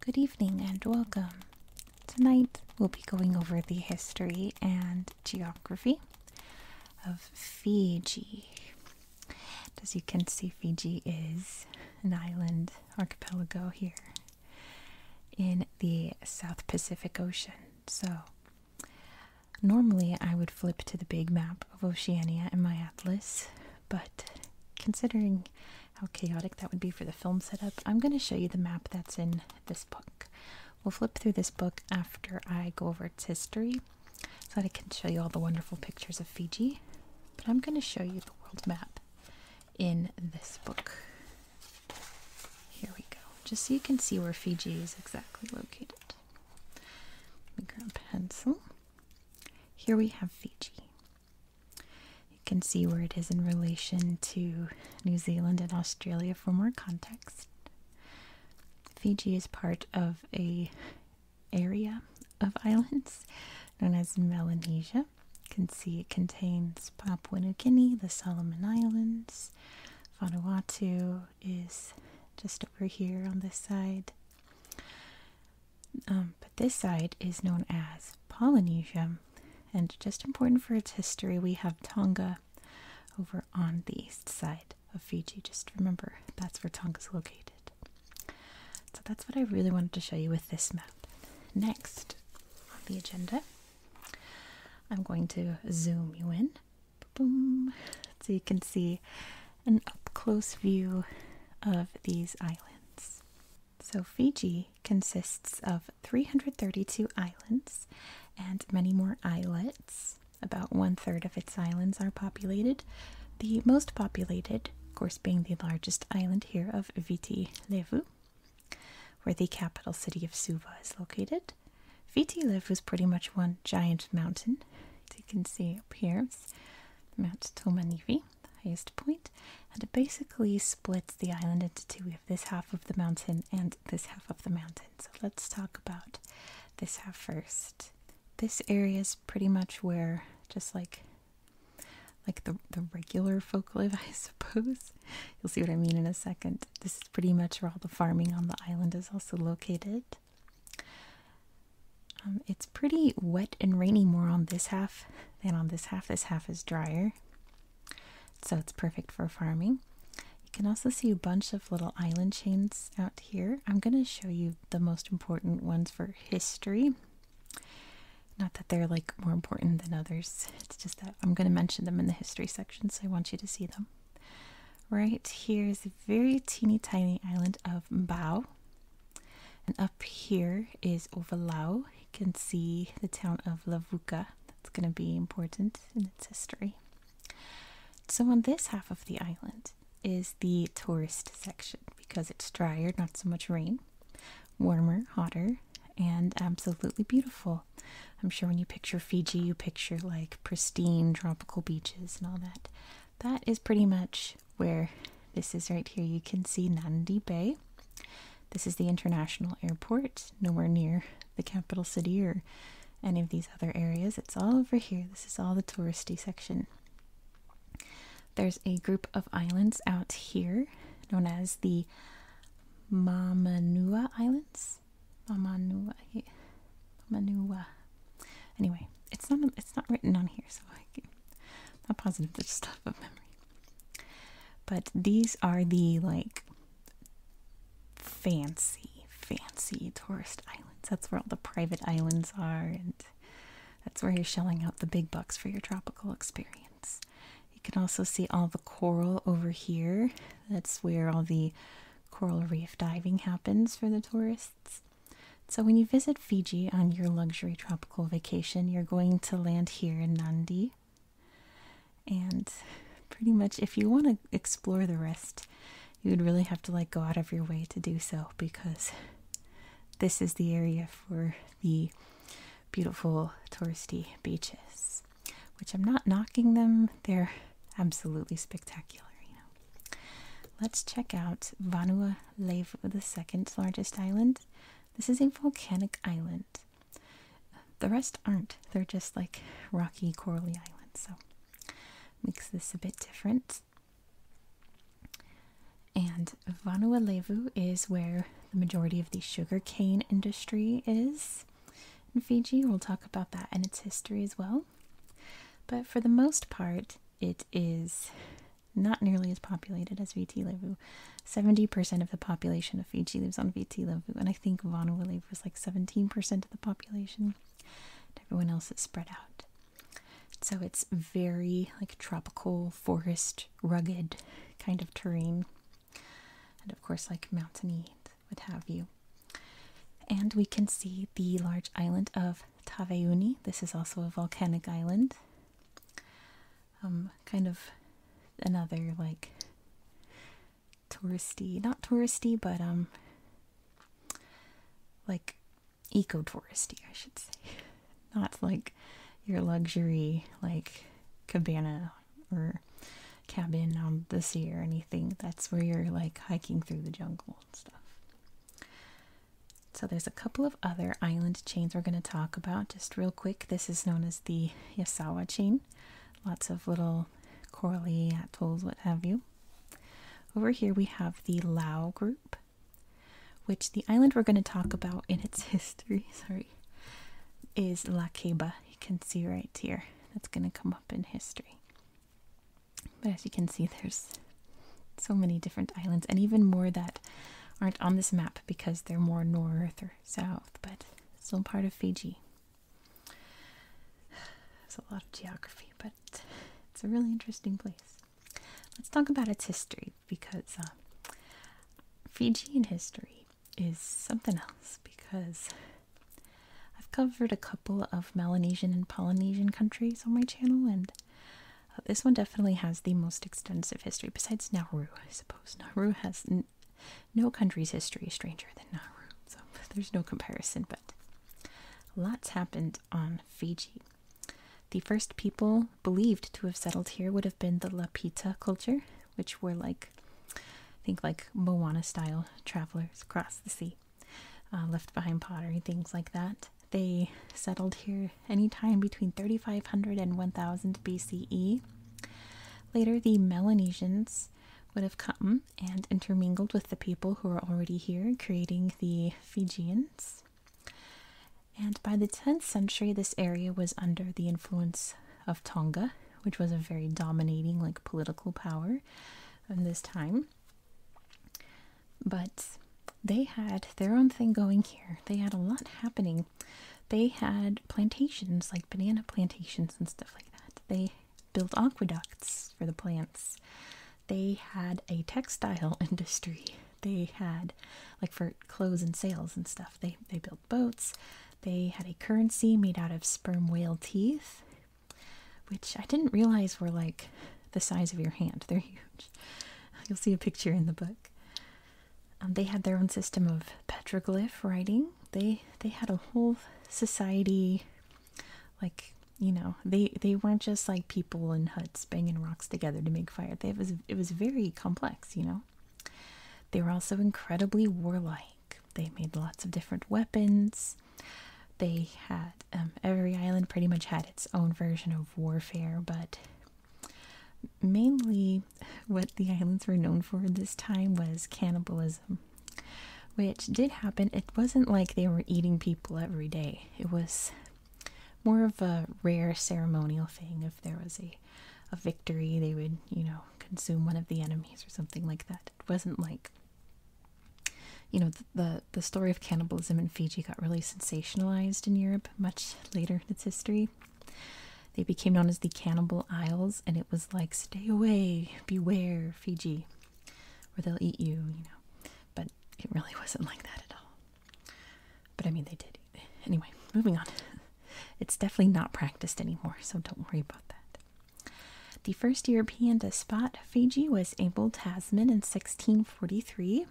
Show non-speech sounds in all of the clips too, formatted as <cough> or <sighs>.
Good evening and welcome. Tonight we'll be going over the history and geography of Fiji. As you can see, Fiji is an island archipelago here in the South Pacific Ocean. So Normally, I would flip to the big map of Oceania in my atlas, but considering how chaotic that would be for the film setup, I'm going to show you the map that's in this book. We'll flip through this book after I go over its history so that I can show you all the wonderful pictures of Fiji, but I'm going to show you the world map in this book. Here we go, just so you can see where Fiji is exactly located. Let me grab a pencil. Here we have Fiji. You can see where it is in relation to New Zealand and Australia for more context. Fiji is part of a area of islands known as Melanesia. You can see it contains Papua New Guinea, the Solomon Islands, Islands. is just over here on this side. Um, but this side is known as Polynesia, and just important for its history, we have Tonga over on the east side of Fiji. Just remember that's where Tonga is located. So that's what I really wanted to show you with this map. Next on the agenda I'm going to zoom you in so you can see an up close view of these islands. So, Fiji consists of 332 islands and many more islets. About one third of its islands are populated. The most populated, of course, being the largest island here of Viti Levu, where the capital city of Suva is located. Viti Levu is pretty much one giant mountain, as you can see up here. Mount Tomanivi, the highest point, and it basically splits the island into two. We have this half of the mountain and this half of the mountain. So let's talk about this half first. This area is pretty much where just like like the the regular folk live, <laughs> I suppose. You'll see what I mean in a second. This is pretty much where all the farming on the island is also located. Um, it's pretty wet and rainy more on this half than on this half. This half is drier, so it's perfect for farming. You can also see a bunch of little island chains out here. I'm going to show you the most important ones for history. Not that they're like more important than others, it's just that I'm going to mention them in the history section, so I want you to see them. Right here is a very teeny tiny island of Mbao. And up here is Ovalau. You can see the town of Lavuka. That's going to be important in its history. So on this half of the island is the tourist section because it's drier, not so much rain, warmer, hotter, and absolutely beautiful. I'm sure when you picture Fiji, you picture like pristine tropical beaches and all that. That is pretty much where this is right here. You can see Nandi Bay. This is the international airport, nowhere near the capital city or any of these other areas. It's all over here. This is all the touristy section. There's a group of islands out here known as the Mamanua Islands. Yes, Mamanua. Mamanua. Anyway, it's not it's not written on here, so I am not positive. this stuff of memory. But these are the like fancy, fancy tourist islands. That's where all the private islands are, and that's where you're shelling out the big bucks for your tropical experience. You can also see all the coral over here. That's where all the coral reef diving happens for the tourists. So, when you visit Fiji on your luxury tropical vacation, you're going to land here in Nandi. And pretty much, if you want to explore the rest, you would really have to like go out of your way to do so because this is the area for the beautiful touristy beaches which I'm not knocking them, they're absolutely spectacular, Let's check out Vanuatu, the second largest island. This is a volcanic island. The rest aren't, they're just like rocky, corally islands, so makes this a bit different. And Vanuatu is where the majority of the sugar cane industry is. And Fiji, we'll talk about that and its history as well. But for the most part, it is not nearly as populated as Viti Levu. 70% of the population of Fiji lives on Viti Levu, and I think Vanuatu was like 17% of the population. everyone else is spread out. So it's very like tropical, forest, rugged kind of terrain. And of course, like mountainy what have you. And we can see the large island of Taveuni. This is also a volcanic island. Um, kind of another like touristy, not touristy, but um, like ecotouristy, I should say. <laughs> Not like your luxury like cabana or cabin on um, the sea or anything. That's where you're like hiking through the jungle and stuff. So there's a couple of other island chains we're going to talk about just real quick. This is known as the Yasawa chain. Lots of little corally atolls, what have you. Over here we have the Lao group, which the island we're going to talk about in its <laughs> history, sorry, is La Ceiba. You can see right here. That's going to come up in history. But as you can see, there's so many different islands, and even more that aren't on this map because they're more north or south, but still part of Fiji. There's <sighs> a lot of geography, but it's a really interesting place. Let's talk about its history because uh, Fijian history is something else because I've covered a couple of Melanesian and Polynesian countries on my channel, and uh, this one definitely has the most extensive history, besides Nauru, I suppose. Nauru has no country's history is stranger than Nauru, so <laughs> there's no comparison, but lots happened on Fiji. The first people believed to have settled here would have been the Lapita culture, which were like, I think, like Moana style travelers across the sea. Uh, left behind pottery, things like that. They settled here any time between 3500 and 1000 BCE. Later, the Melanesians would have come and intermingled with the people who were already here, creating the Fijians. And by the 10th century, this area was under the influence of Tonga, which was a very dominating, like, political power and this time. But they had their own thing going here. They had a lot happening. They had plantations, like banana plantations and stuff like that. They built aqueducts for the plants. They had a textile <laughs> industry. They had, like, for clothes and sales and stuff. They they built boats. They had a currency made out of sperm whale teeth which I didn't realize were like the size of your hand. <laughs> They're huge. You'll see a picture in the book. Um, they had their own system of petroglyph writing. They they had a whole society, like you know, they they weren't just like people in huts banging rocks together to make fire. They, it was very complex, you know. They were also incredibly warlike. They made lots of different weapons. They had um, every island pretty much had its own version of warfare, but mainly what the islands were known for this time was cannibalism, which did happen. It wasn't like they were eating people every day, it was more of a rare ceremonial thing. If there was a, a victory, they would, you know, consume one of the enemies or something like that. It wasn't like you know the, the story of cannibalism in Fiji got really sensationalized in Europe much later in its history. They became known as the Cannibal Isles, and it was like stay away, beware Fiji, or they'll eat you, you know. But it really <laughs> wasn't like that at all. But I mean, they did. Anyway, moving on. <laughs> It's definitely not practiced anymore, so don't worry about that. The first European to spot Fiji was Abel Tasman in 1643.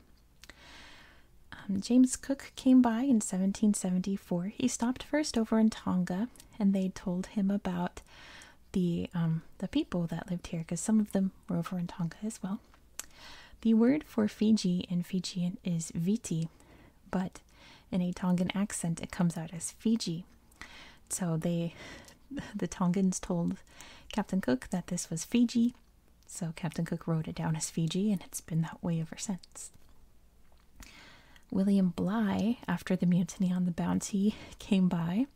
Um, James Cook came by in 1774. He stopped first over in Tonga, and they told him about the um, the people that lived here, because some of them were over in Tonga as well. The word for Fiji in Fijian is Viti, but in a Tongan accent, it comes out as Fiji. So they, <laughs> the Tongans told Captain Cook that this was Fiji. So Captain Cook wrote it down as Fiji, and it's been that way ever since. William Bligh, after the mutiny on the Bounty, <laughs> came by,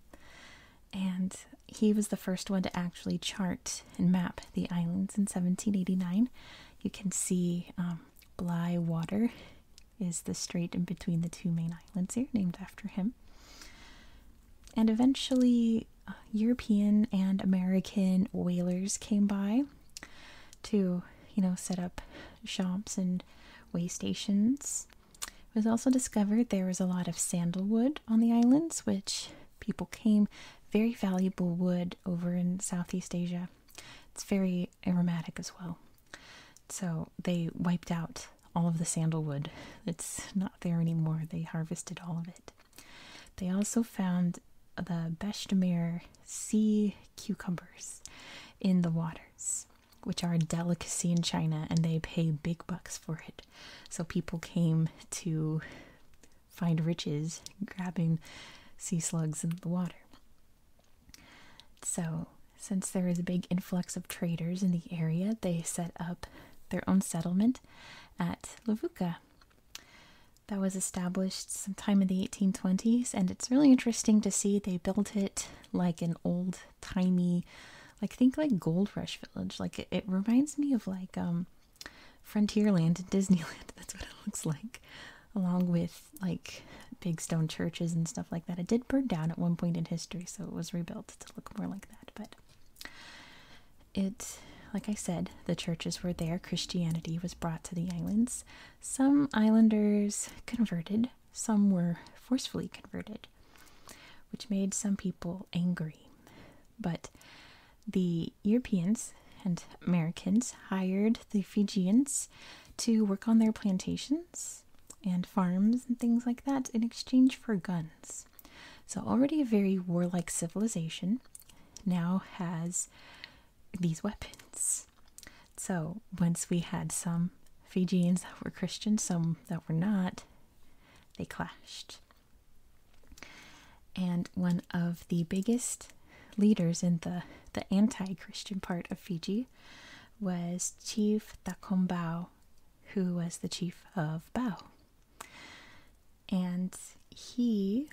and he was the first one to actually chart and map the islands in 1789. You can see um, Bligh Water is the strait in between the two main islands here, named after him. And eventually, uh, European and American whalers came by to, you know, set up shops and way stations. It was also discovered there was a lot of sandalwood on the islands, which people came very valuable wood over in Southeast Asia. It's very aromatic as well. So they wiped out all of the sandalwood. It's not there anymore. They harvested all of it. They also found the Beshtemer sea cucumbers in the waters, which are a delicacy in China and they pay big bucks for it. So people came to find riches grabbing sea slugs in the water. So since there is a big influx of traders in the area, they set up their own settlement at Lavuka. That was established sometime in the 1820s, and it's really interesting to see they built it like an old timey, like think like Gold Rush Village. Like it, reminds me of like um, Frontierland and <laughs> Disneyland. That's what it looks like, along with like big stone churches and stuff like that. It did burn down at one point in history, so it was rebuilt to look more like that, but it, like I said, the churches were there. Christianity was brought to the islands. Some islanders converted, some were forcefully converted, which made some people angry. But the Europeans and Americans hired the Fijians to work on their plantations and farms and things like that in exchange for guns. So, already a very warlike civilization now has these weapons. So, once we had some Fijians that were Christian, some that were not, they clashed. And one of the biggest leaders in the, the anti Christian part of Fiji was Chief Takombau who was the chief of Bau? And he,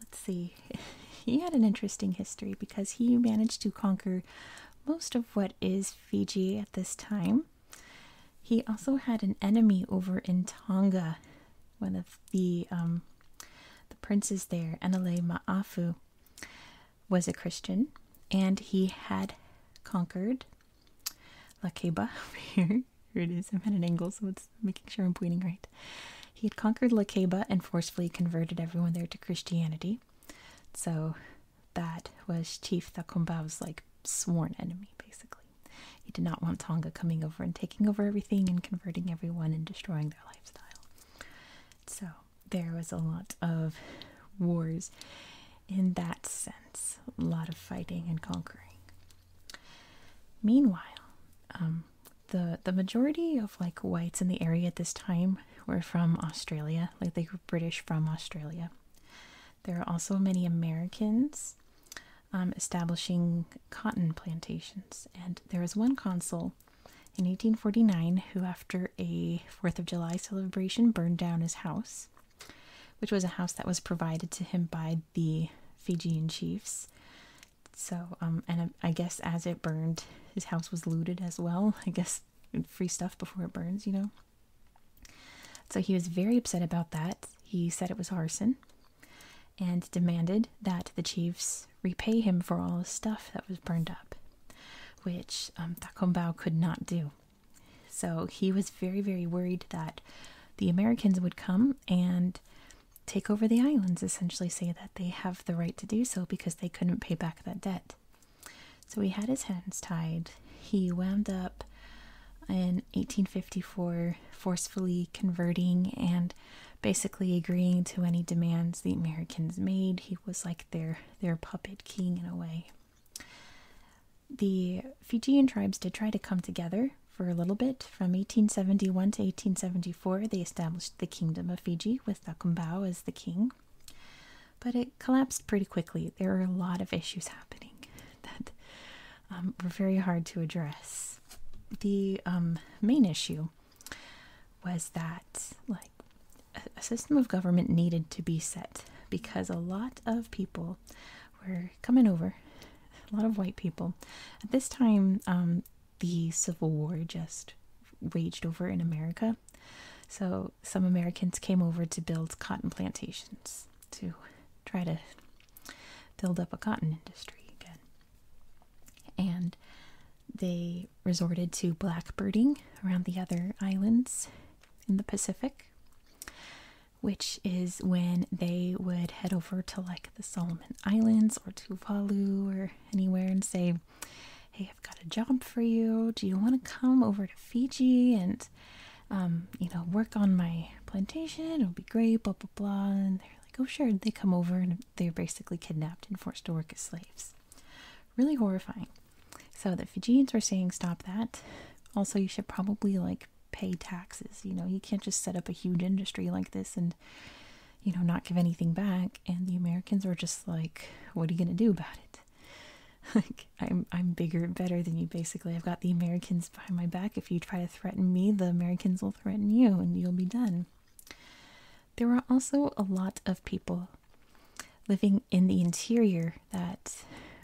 let's see, <laughs> he had an interesting history because he managed to conquer most of what is Fiji at this time. He also had an enemy over in Tonga, one of the um, the princes there, Enele Maafu was a Christian and he had conquered Lakeba over <laughs> here. Here it is. I'm at an angle, so it's making sure I'm pointing right. He had conquered Lakeba and forcefully converted everyone there to Christianity. So that was Chief Thakombau's like sworn enemy, basically. He did not want Tonga coming over and taking over everything and converting everyone and destroying their lifestyle. So there was a lot of wars in that sense. A lot of fighting and conquering. Meanwhile, um, the the majority of like whites in the area at this time were from Australia, like they were British from Australia. There are also many Americans um, establishing cotton plantations, and there was one consul in 1849 who, after a Fourth of July celebration, burned down his house which was a house that was provided to him by the Fijian chiefs. So, um, and I, guess as it burned, his house was looted as well. <laughs> I guess free stuff before it burns, you know. So he was very upset about that. He said it was arson and demanded that the chiefs repay him for all the stuff that was burned up, which um, Takombao could not do. So he was very, very worried that the Americans would come and take over the islands, essentially, say that they have the right to do so because they couldn't pay back that debt. So he had his hands tied. He wound up in 1854 forcefully converting and basically agreeing to any demands the Americans made. He was like their their puppet king in a way the Fijian tribes did try to come together for a little bit. From 1871 to 1874, they established the Kingdom of Fiji with Thakumbau as the king. But it collapsed pretty quickly. There were a lot of issues happening <laughs> that um, were very hard to address. The um, main issue was that, like, a system of government needed to be set because a lot of people were coming over, a lot of white people. At this time, um, the Civil War just raged over in America. So some Americans came over to build cotton plantations to try to build up a cotton industry again. And they resorted to blackbirding around the other islands in the Pacific which is when they would head over to like the Solomon Islands or Tuvalu or anywhere and say, Hey, I've got a job for you. Do you want to come over to Fiji and, um, you know, work on my plantation? It'll be great, blah, blah, blah. And they're like, Oh, sure. they come over and they're basically kidnapped and forced to work as slaves. Really horrifying. So the Fijians were saying stop that. Also, you should probably like pay taxes. You know, you can't just set up a huge industry like this and you know not give anything back. And the Americans were just like, what are you gonna do about it? <laughs> Like I'm I'm bigger better than you basically. I've got the Americans behind my back. If you try to threaten me, the Americans will threaten you and you'll be done. There were also a lot of people living in the interior that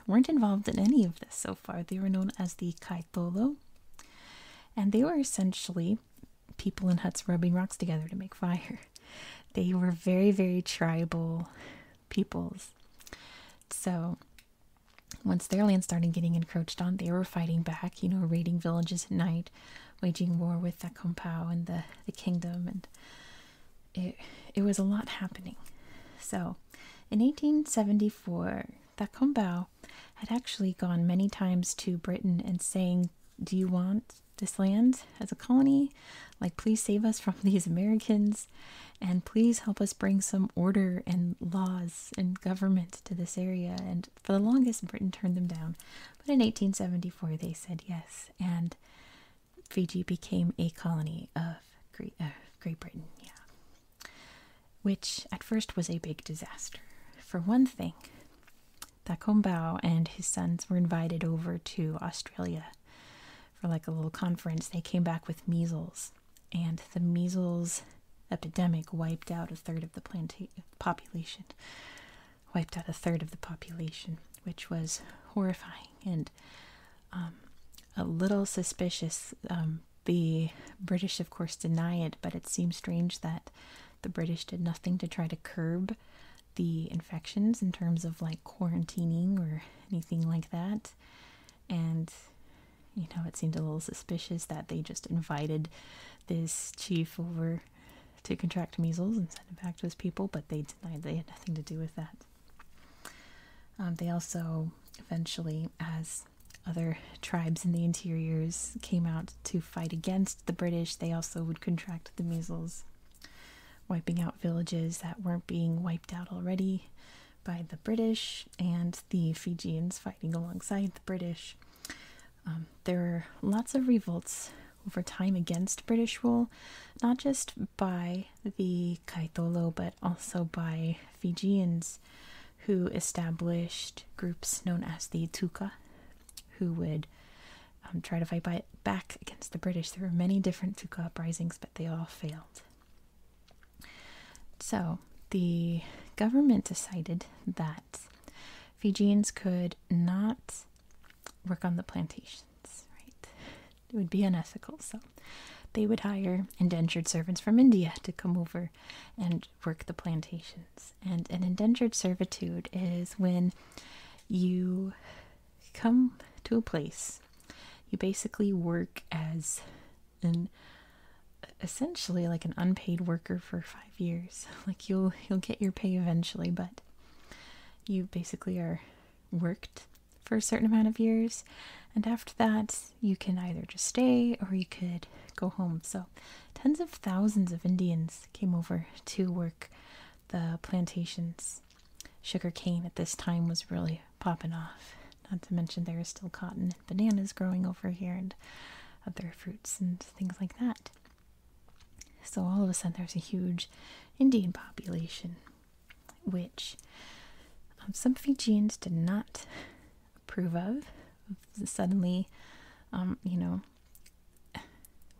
weren't involved in any of this so far. They were known as the Kaitolo, and they were essentially people in huts rubbing rocks together to make fire. <laughs> They were very, very tribal peoples. So, once their land started getting encroached on, they were fighting back, you know, raiding villages at night, waging war with the Kompao and the, the kingdom, and it, it was a lot happening. So, in 1874, Thakombau had actually gone many times to Britain and saying, Do you want this land as a colony? Like, please save us from <laughs> these Americans and please help us bring some order and laws and government to this area. And for the longest, Britain turned them down. But in 1874, they said yes. And Fiji became a colony of uh, Great, Britain, yeah, which at first was a big disaster. For one thing, Thakombau and his sons were invited over to Australia for like a little conference. They came back with measles, and the measles epidemic wiped out a third of the planta- population. Wiped out a third of the population, which was horrifying and um, a little suspicious. Um, the British, of course, deny it, but it seems strange that the British did nothing to try to curb the infections in terms of like quarantining or anything like that. And you know, it seemed a little suspicious that they just invited this chief over to contract measles and send it back to his people, but they denied they had nothing to do with that. Um, they also eventually, as other tribes in the interiors came out to fight against the British, they also would contract the measles, wiping out villages that weren't being wiped out already by the British and the Fijians fighting alongside the British. Um, there were lots of revolts over time against British rule, not just by the Kaitolo, but also by Fijians who established groups known as the Tuka, who would um, try to fight back against the British. There were many different Tuka uprisings, but they all failed. So the government decided that Fijians could not work on the plantations, right? it would be unethical. So they would hire indentured servants from India to come over and work the plantations. And an indentured servitude is when you come to a place, you basically work as an essentially like an unpaid worker for five years. <laughs> Like you'll you'll get your pay eventually, but you basically are worked for a certain amount of years. And after that, you can either just stay or you could go home. So, tens of thousands of Indians came over to work the plantations. Sugar cane at this time was really popping off. Not to mention, there is still cotton and bananas growing over here and other fruits and things like that. So, all of a sudden, there's a huge Indian population which um, some Fijians did not approve of. Suddenly, um, you know,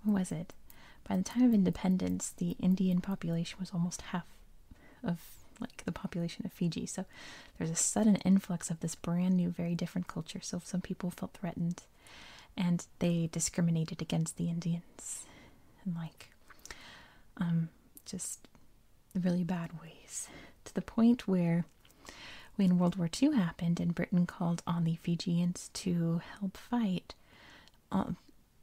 what was it? By the time of independence, the Indian population was almost half of like the population of Fiji. So there's a sudden influx of this brand new, very different culture. So some people felt threatened and they discriminated against the Indians and like um just really bad ways to the point where when World War II happened and Britain called on the Fijians to help fight, um,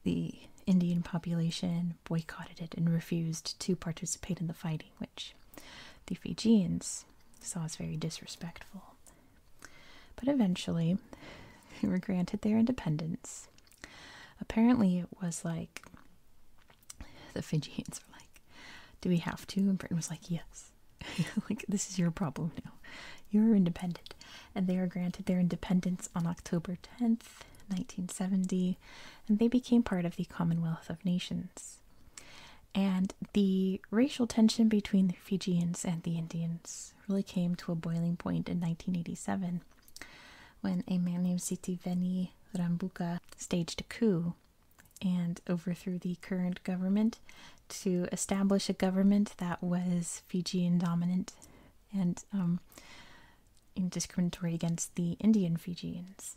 the Indian population boycotted it and refused to participate in the fighting, which the Fijians saw as very disrespectful. But eventually, <laughs> they were granted their independence. Apparently, it was like the Fijians were like, do we have to? And Britain was like, yes. <laughs> like, this is your problem now. You're independent. And they were granted their independence on October 10th, 1970, and they became part of the Commonwealth of Nations. And the racial tension between the Fijians and the Indians really came to a boiling point in 1987 when a man named Sitiveni Rambuka staged a coup and overthrew the current government to establish a government that was Fijian dominant and um, discriminatory against the Indian Fijians.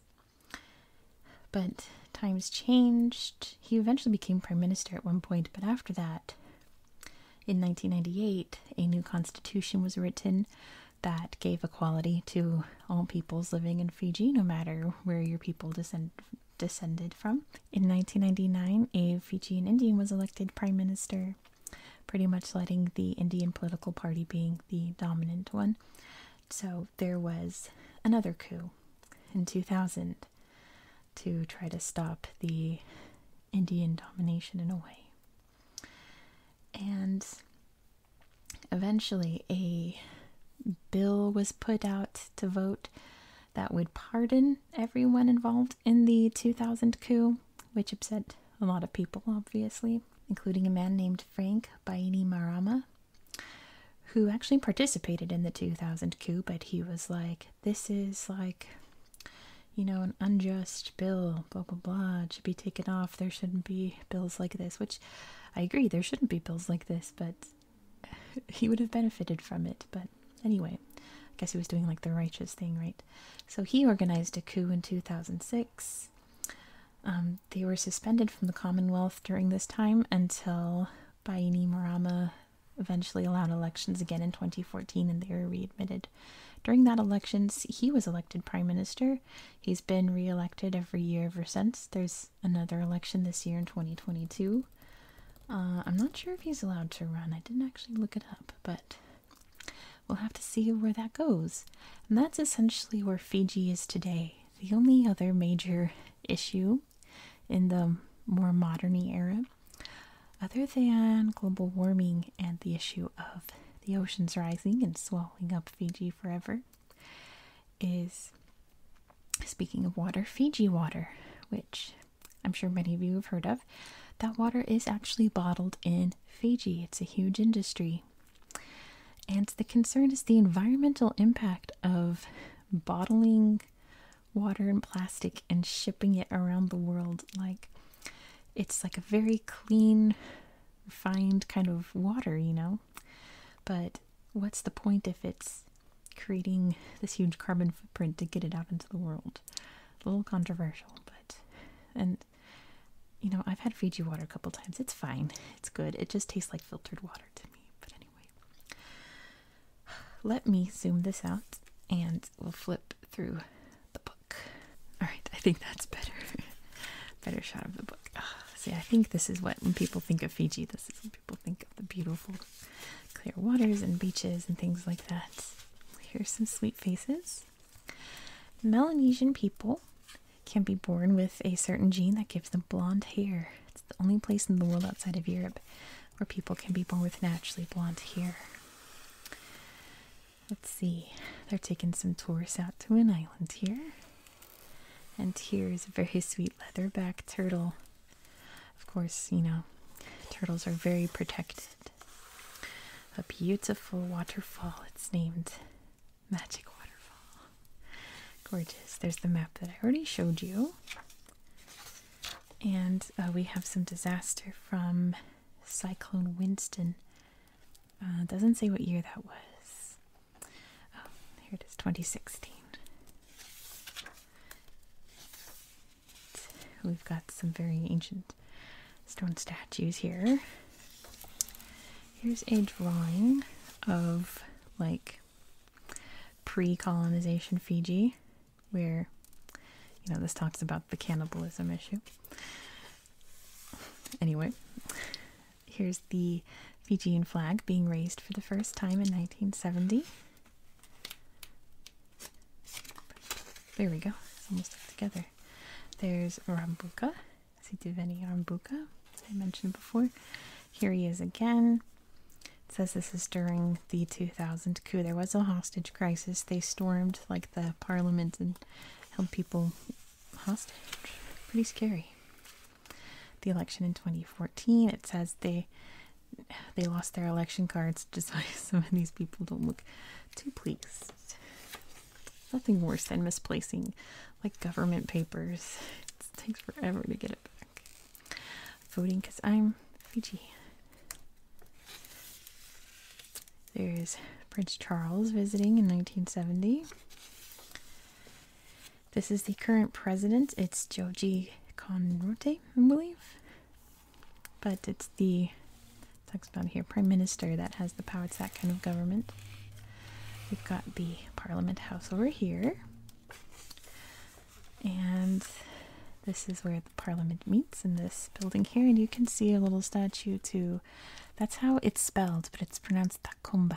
But times changed. He eventually became prime minister at one point, but after that, in 1998, a new constitution was written that gave equality to all peoples living in Fiji, no matter where your people descend descended from. In 1999, a Fijian Indian was elected prime minister, pretty much letting the Indian political party being the dominant one. So there was another coup in 2000 to try to stop the Indian domination in a way. And Eventually, a bill was put out to vote that would pardon everyone involved in the 2000 coup, which upset a lot of people, obviously, including a man named Frank Baini Marama, who actually participated in the 2000 coup, but he was like, This is like, you know, an unjust bill, blah, blah, blah. should be taken off. There shouldn't be bills like this, which I agree, there shouldn't be bills like this, but <laughs> he would have benefited from it. But anyway, I guess he was doing like the righteous thing, right? So he organized a coup in 2006. Um, they were suspended from the Commonwealth during this time until Bainimarama eventually allowed elections again in 2014 and they were readmitted. During that elections, he was elected prime minister. He's been re-elected every year ever since. There's another election this year in 2022. Uh, I'm not sure if he's allowed to run. I didn't actually look it up, but we'll have to see where that goes. And that's essentially where Fiji is today. The only other major issue in the more modern era, other than global warming and the issue of the oceans rising and swallowing up Fiji forever is speaking of water, Fiji water, which I'm sure many of you have heard of. That water is actually bottled in Fiji, it's a huge industry. And the concern is the environmental impact of bottling water in plastic and shipping it around the world. Like, it's like a very clean refined kind of water, you know? But what's the point if it's creating this huge carbon footprint to get it out into the world? A little controversial, but. And, you know, I've had Fiji water a couple times. It's fine, it's good. It just tastes like filtered water to me. But anyway, <sighs> let me zoom this out and we'll flip through the book. Alright, I think that's better. <laughs> better shot of the book. Ah, see, I think this is what, when people think of Fiji, this is what people think of the beautiful clear waters and beaches and things like that. Here's some sweet faces. Melanesian people can be born with a certain gene that gives them blonde hair. It's the only place in the world outside of Europe where people can be born with naturally blonde hair. Let's see, they're taking some tourists out to an island here. And here is a very sweet leatherback turtle. Of course, you know, turtles are very protected. A beautiful waterfall, it's named Magic Waterfall. Gorgeous. There's the map that I already showed you. And uh, we have some disaster from Cyclone Winston uh, doesn't say what year that was. Oh, here it is, 2016. We've got some very ancient stone statues here. Here's a drawing of like pre colonization Fiji, where, you know, this talks about the cannibalism issue. Anyway, Here's the Fijian flag being raised for the first time in 1970. There we go, almost stuck together. There's Rambuka, Sitiveni Rambuka, I mentioned before. Here he is again. says this is during the 2000 coup. There was a hostage crisis. They stormed like the parliament and held people hostage. Pretty scary. The election in 2014, it says they they lost their election cards <laughs> just so some of these people don't look too pleased. Nothing worse than misplacing like government papers. It takes forever to get it back. Voting because I'm Fiji. There's Prince Charles visiting in 1970. This is the current president. It's Joji Konrote, I believe. But it's the talks about here prime minister that has the power. It's that kind of government. We've got the Parliament House over here. And this is where the Parliament meets in this building here. And you can see a little statue to that's how it's spelled, but it's pronounced Takumbau.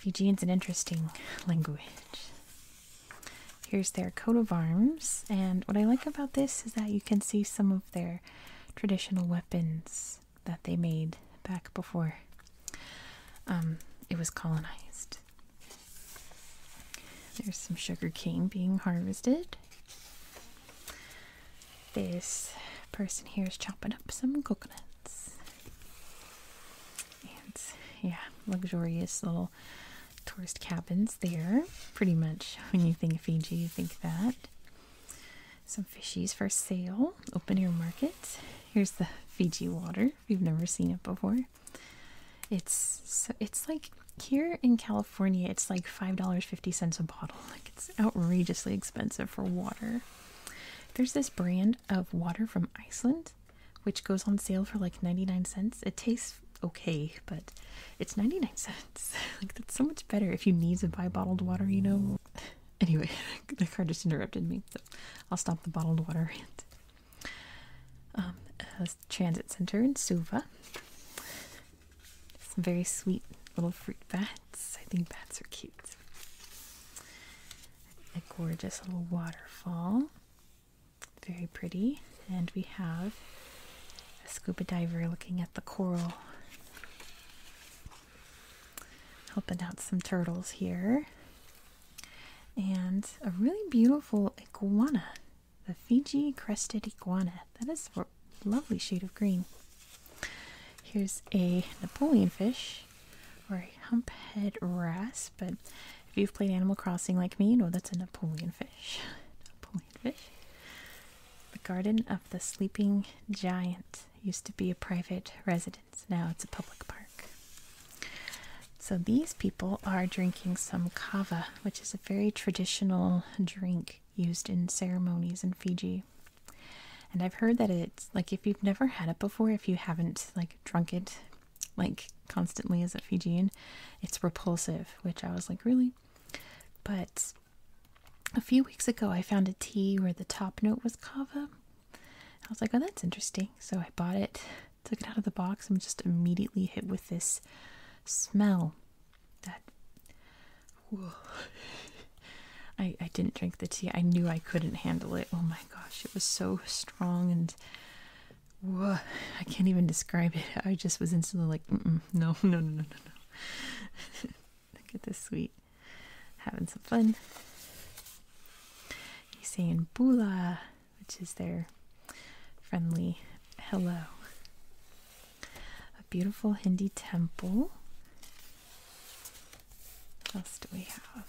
Takumbao. is an interesting language. Here's their coat of arms, and what I like about this is that you can see some of their traditional weapons that they made back before um, it was colonized. There's some sugar cane being harvested. This person here is chopping up some coconuts. And yeah, luxurious little tourist cabins there. Pretty much when you think Fiji, you think that. Some fishies for sale, open air market. Here's the Fiji water if you've never seen it before. It's so it's like here in California, it's like $5.50 a bottle. <laughs> Like it's outrageously expensive for water. There's this brand of water from Iceland which goes on sale for like 99 cents. It tastes okay, but it's 99 cents. <laughs> like that's so much better if you need to buy bottled water, you know. <laughs> Anyway, <laughs> the car just interrupted me, so I'll stop the bottled water rant. Um, uh, transit center in Suva. Some very sweet little fruit bats. I think bats are cute. A gorgeous little waterfall. Very pretty. And we have a scuba diver looking at the coral. Helping out some turtles here. And a really beautiful iguana. The Fiji crested iguana. That is a lovely shade of green. Here's a Napoleon fish or a humphead wrasse, but if you've played Animal Crossing like me, you know that's a Napoleon fish. <laughs> Napoleon fish. The Garden of the Sleeping Giant used to be a private residence. Now it's a public park. So these people are drinking some kava, which is a very traditional drink used in ceremonies in Fiji. And I've heard that it's like if you've never had it before, if you haven't like drunk it like constantly as a Fijian, it's repulsive, which I was like, really? But a few weeks ago, I found a tea where the top note was kava. I was like, oh, that's interesting. So I bought it, took it out of the box, and just immediately hit with this smell that I, I didn't drink the tea. I knew I couldn't handle it. Oh my gosh, it was so strong and whoa, I can't even describe it. I just was instantly like, mm -mm, <laughs> no, no, no, no, no, no. <laughs> Look at this sweet. Having some fun. He's saying Bula, which is their friendly hello. A beautiful Hindi temple. What else do we have?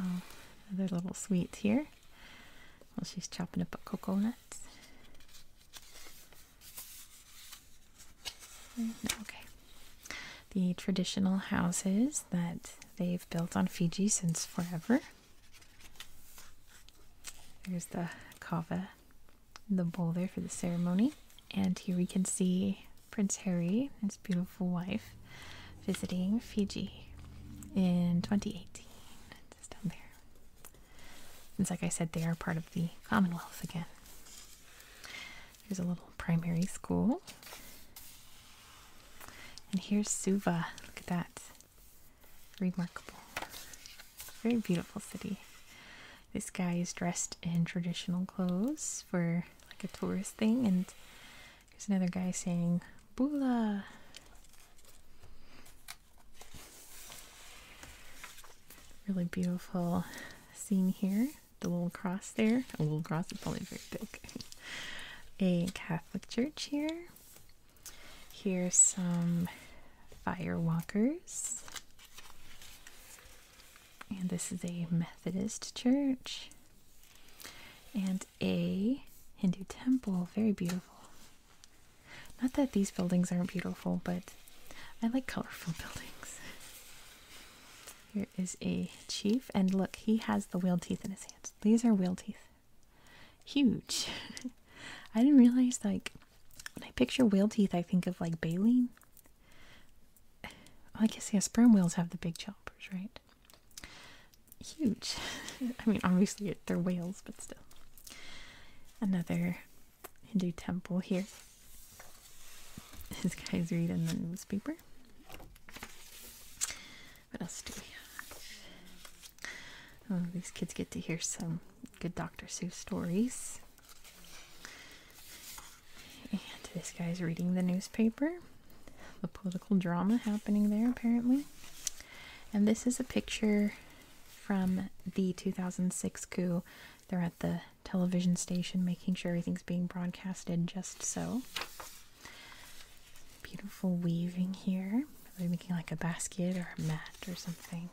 Oh, another little sweets here. Well, she's chopping up a coconut. Okay. The traditional houses that they've built on Fiji since forever. There's the kava, the bowl there for the ceremony. And here we can see Prince Harry and his beautiful wife visiting Fiji in 2018. It's down there. And like I said, they are part of the Commonwealth again. There's a little primary school. And here's Suva. Look at that. Remarkable. Very beautiful city. This guy is dressed in traditional clothes for like a tourist thing, and there's another guy saying "Bula." Really beautiful scene here. The little cross there. A little cross It's only very big. <laughs> a Catholic church here. Here's some firewalkers. And this is a Methodist church and a Hindu temple. Very beautiful. Not that these buildings aren't beautiful, but I like colorful <laughs> buildings. Here is a chief, and look, he has the wheel teeth in his hands. These are wheel teeth. Huge. <laughs> I didn't realize, like, when I picture wheel teeth, I think of, like, baleen. I guess, yeah, sperm whales have the big choppers, right? Huge. <laughs> I mean, obviously they're whales, but still. Another Hindu temple here. This guy's reading the newspaper. What else do we have? Oh, these kids get to hear some good Dr. Seuss stories. And this guy's reading the newspaper. The political drama happening there, apparently. And this is a picture from the 2006 coup. They're at the television station making sure everything's being broadcasted just so. Beautiful weaving here. They're making like a basket or a mat or something.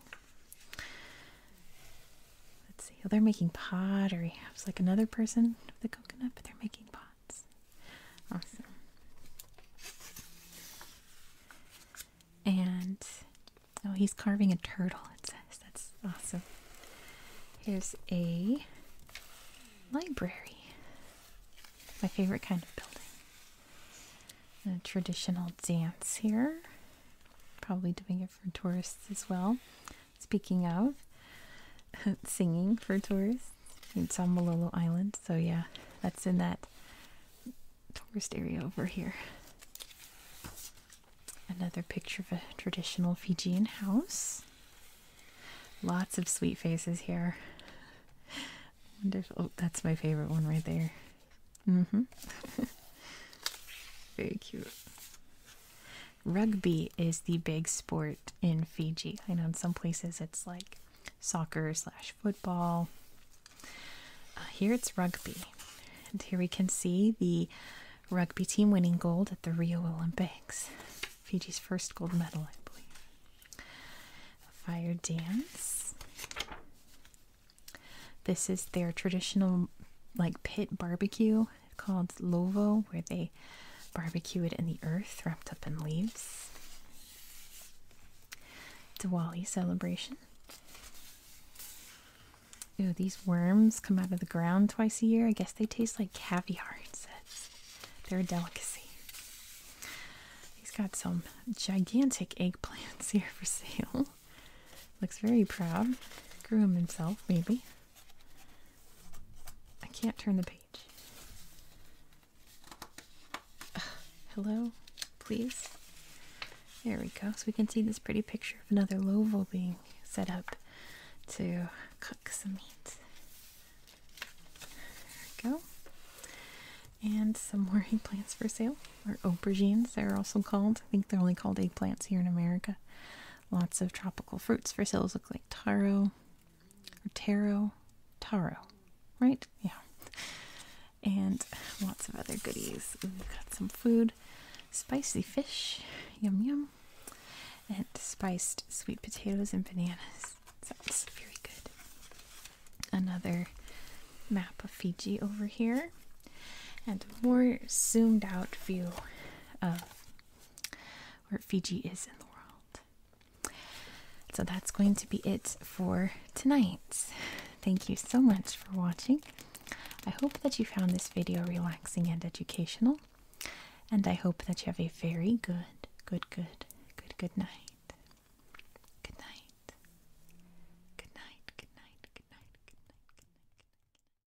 Let's see. Oh, they're making pottery. I was like another person with the coconut, but they're making pots. Awesome. And oh, he's carving a turtle, it says. That's awesome. Here's a library. My favorite kind of building. A traditional dance here. Probably doing it for tourists as well. Speaking of <laughs> singing for tourists, in on Island. So, yeah, that's in that tourist area over here. Another picture of a traditional Fijian house. Lots of sweet faces here. <laughs> Oh, that's my favorite one right there. hmm. <laughs> Very cute. Rugby is the big sport in Fiji. I know in some places it's like soccer slash football. Uh, here it's rugby. And here we can see the rugby team winning gold at the Rio Olympics. Fiji's first gold medal, I believe. Fire dance. This is their traditional like pit barbecue called Lovo, where they barbecue it in the earth wrapped up in leaves. Diwali celebration. Ooh, these worms come out of the ground twice a year. I guess they taste like caviar, it says. They're a delicacy. He's got some gigantic eggplants <laughs> here for sale. Looks very proud. Grew them himself, maybe. I can't turn the page. hello? Please? There we go. So we can see this pretty picture of another Lovell being set up to cook some meat. There we go. And some more <laughs> eggplants for sale, or aubergines, they're also called. I think they're only called eggplants here in America. Lots of tropical fruits for sales look like taro taro, taro, right? Yeah. And lots of other goodies. we've got some food, spicy fish, yum yum, and spiced sweet potatoes and bananas. Sounds very good. Another map of Fiji over here, and a more zoomed out view of where Fiji is in the world. So that's going to be it for tonight. Thank you so much for watching. I hope that you found this video relaxing and educational. And I hope that you have a very good, good, good, good, good night. Good night. Good night, good night, good night, good night, good night.